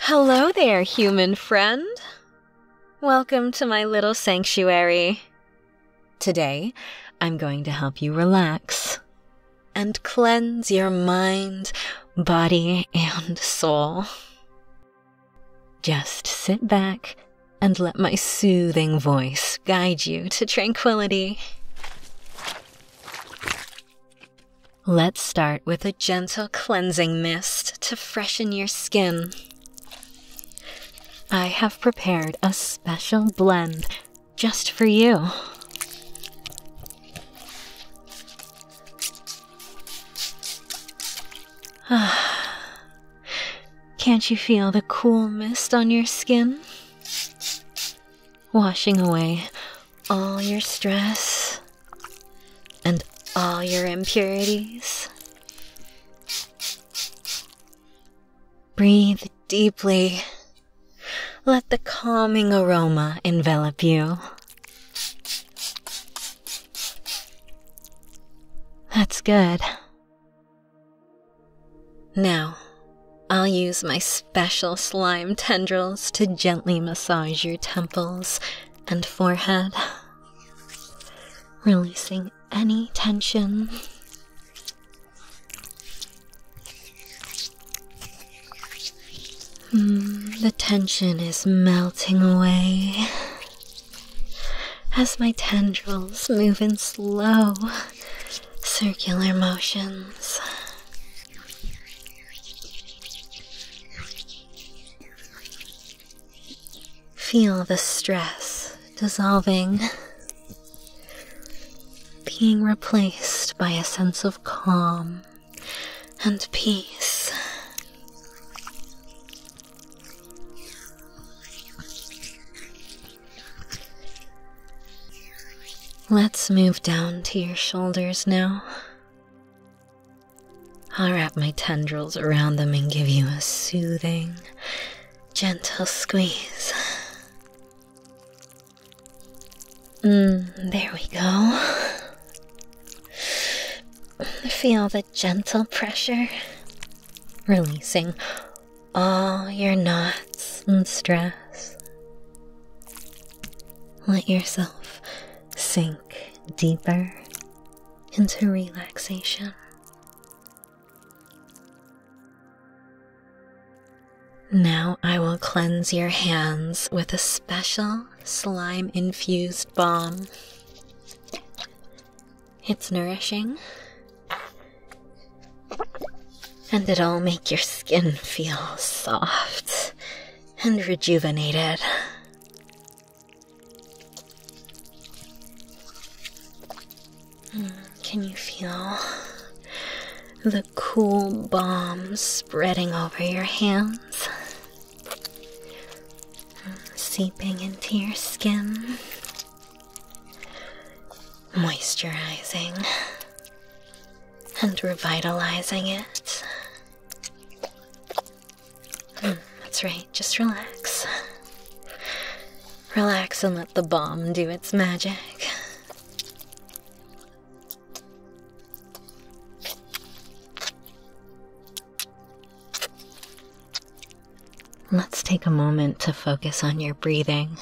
Hello there, human friend. Welcome to my little sanctuary. Today, I'm going to help you relax and cleanse your mind, body, and soul. Just sit back and let my soothing voice guide you to tranquility. Let's start with a gentle cleansing mist to freshen your skin. I have prepared a special blend just for you. Ah. Can't you feel the cool mist on your skin? Washing away all your stress and all your impurities. Breathe deeply. Let the calming aroma envelop you. That's good. Now, I'll use my special slime tendrils to gently massage your temples and forehead, releasing any tension. Hmm, the tension is melting away, as my tendrils move in slow, circular motions. Feel the stress dissolving, being replaced by a sense of calm and peace. Let's move down to your shoulders now. I'll wrap my tendrils around them and give you a soothing, gentle squeeze. Mm, there we go. Feel gentle pressure, releasing all your knots and stress. Let yourself sink deeper into relaxation. Now I will cleanse your hands with a special slime infused balm. It's nourishing. And it'll make your skin feel soft and rejuvenated. Mm, can you feel the cool balm spreading over your hands? seeping into your skin, moisturizing and revitalizing it. Hmm, that's right, just relax. Relax and let the bomb do its magic. Let's take a moment to focus on your breathing.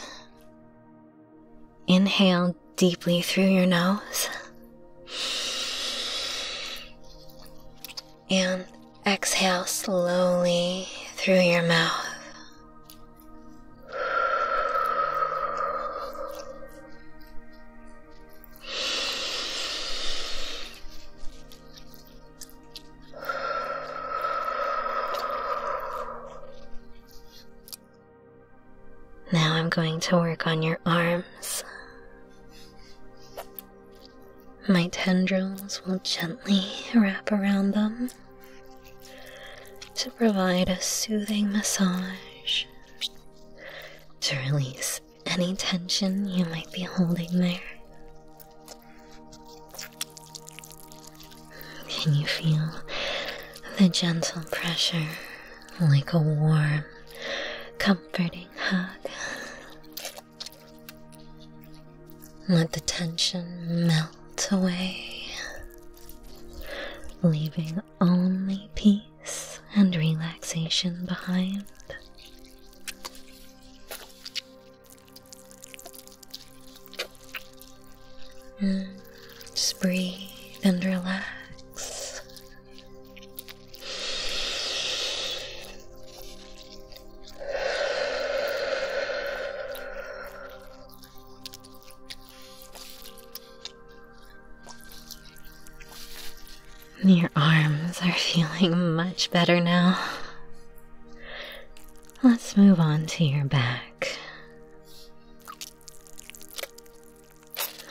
Inhale deeply through your nose. And exhale slowly through your mouth. Now I'm going to work on your arms. My tendrils will gently wrap around them to provide a soothing massage to release any tension you might be holding there. Can you feel the gentle pressure like a warm, comforting hug? Let the tension melt away, leaving only peace and relaxation behind. Mm, just breathe and relax. Your arms are feeling much better now. Let's move on to your back.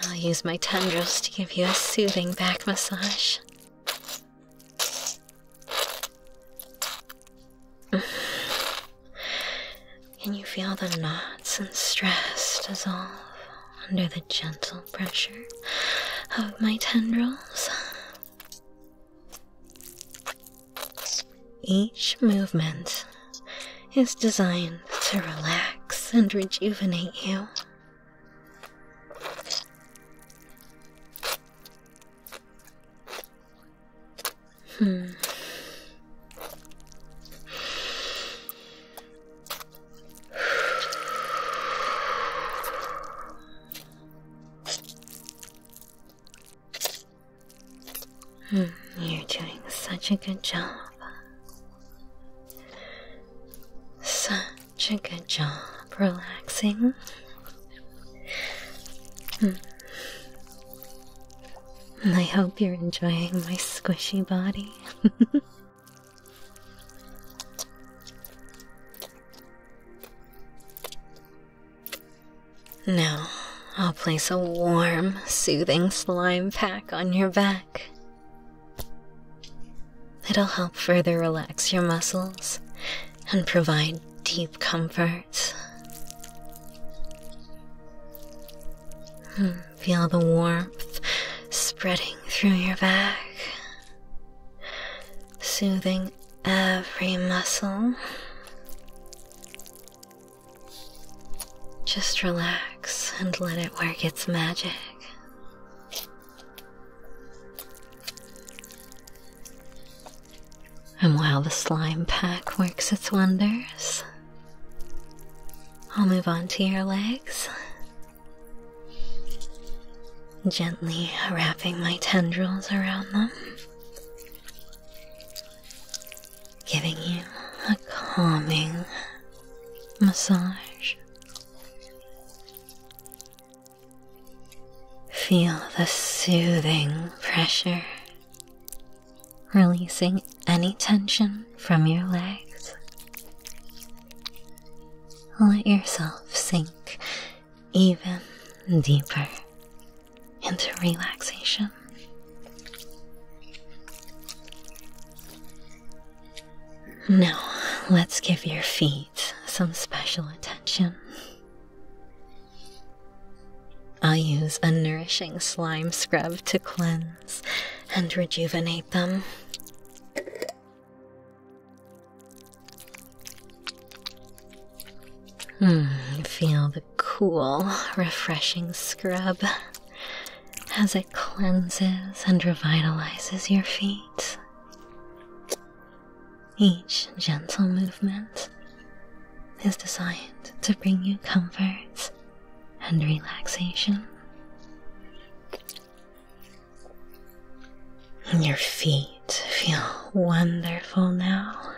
I'll use my tendrils to give you a soothing back massage. Can you feel the knots and stress dissolve? under the gentle pressure of my tendrils. Each movement is designed to relax and rejuvenate you. Hmm. Hmm, you're doing such a good job. Such a good job relaxing. Hmm. I hope you're enjoying my squishy body. now, I'll place a warm, soothing slime pack on your back. It'll help further relax your muscles and provide deep comfort. Hmm. Feel the warmth spreading through your back, soothing every muscle. Just relax and let it work its magic. And while the slime pack works its wonders, I'll move on to your legs. Gently wrapping my tendrils around them, giving you a calming massage. Feel the soothing pressure releasing any tension from your legs. Let yourself sink even deeper into relaxation. Now, let's give your feet some special attention. I use a nourishing slime scrub to cleanse and rejuvenate them. Mm, feel the cool, refreshing scrub as it cleanses and revitalizes your feet. Each gentle movement is designed to bring you comfort and relaxation. Your feet feel wonderful now,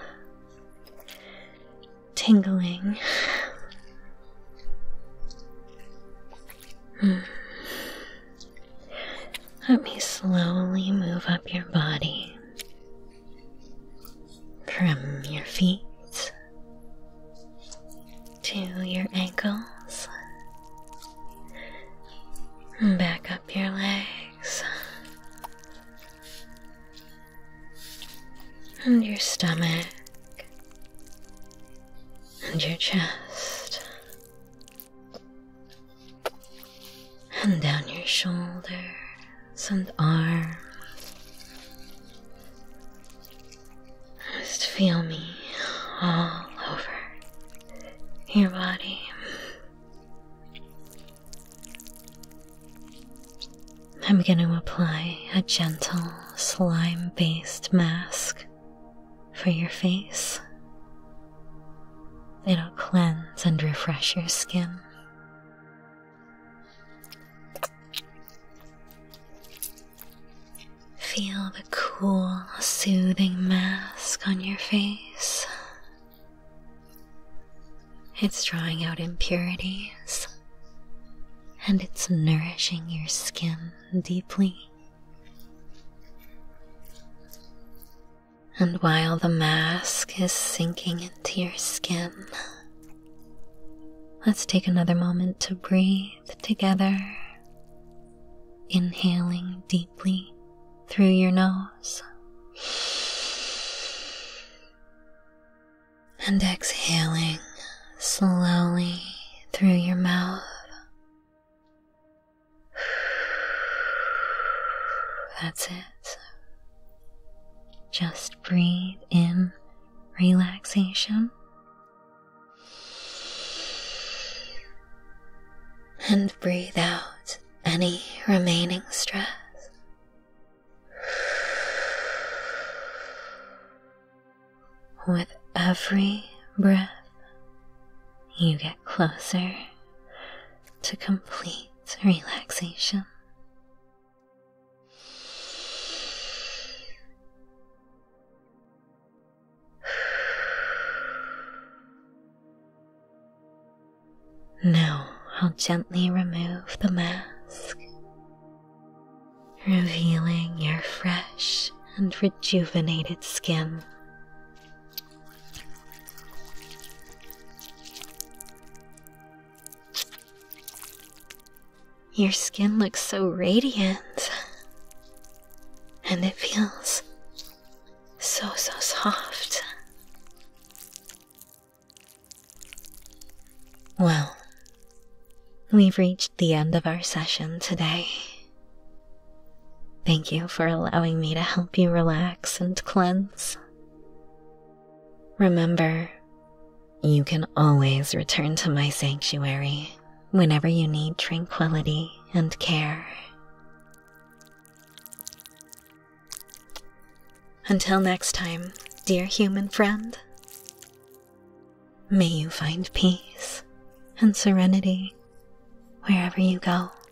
tingling. Hmm. Let me slowly move up your body from your feet to your ankles, back up your legs, and your stomach, and your chest, and down your shoulders and arms. Just feel me all over your body. I'm going to apply a gentle slime based mask for your face. It'll cleanse and refresh your skin Feel the cool, soothing mask on your face. It's drawing out impurities and it's nourishing your skin deeply. And while the mask is sinking into your skin, let's take another moment to breathe together, inhaling deeply through your nose. And exhaling slowly through your mouth. That's it. Just breathe in relaxation and breathe out any remaining stress. With every breath, you get closer to complete complete relaxation. Now I'll gently remove the mask, revealing your fresh and rejuvenated skin your skin looks so radiant, and it feels so, so soft. Well, we've reached the end of our session today. Thank you for allowing me to help you relax and cleanse. Remember, you can always return to my sanctuary whenever you need tranquility and care. Until next time, dear human friend, may you find peace and serenity wherever you go.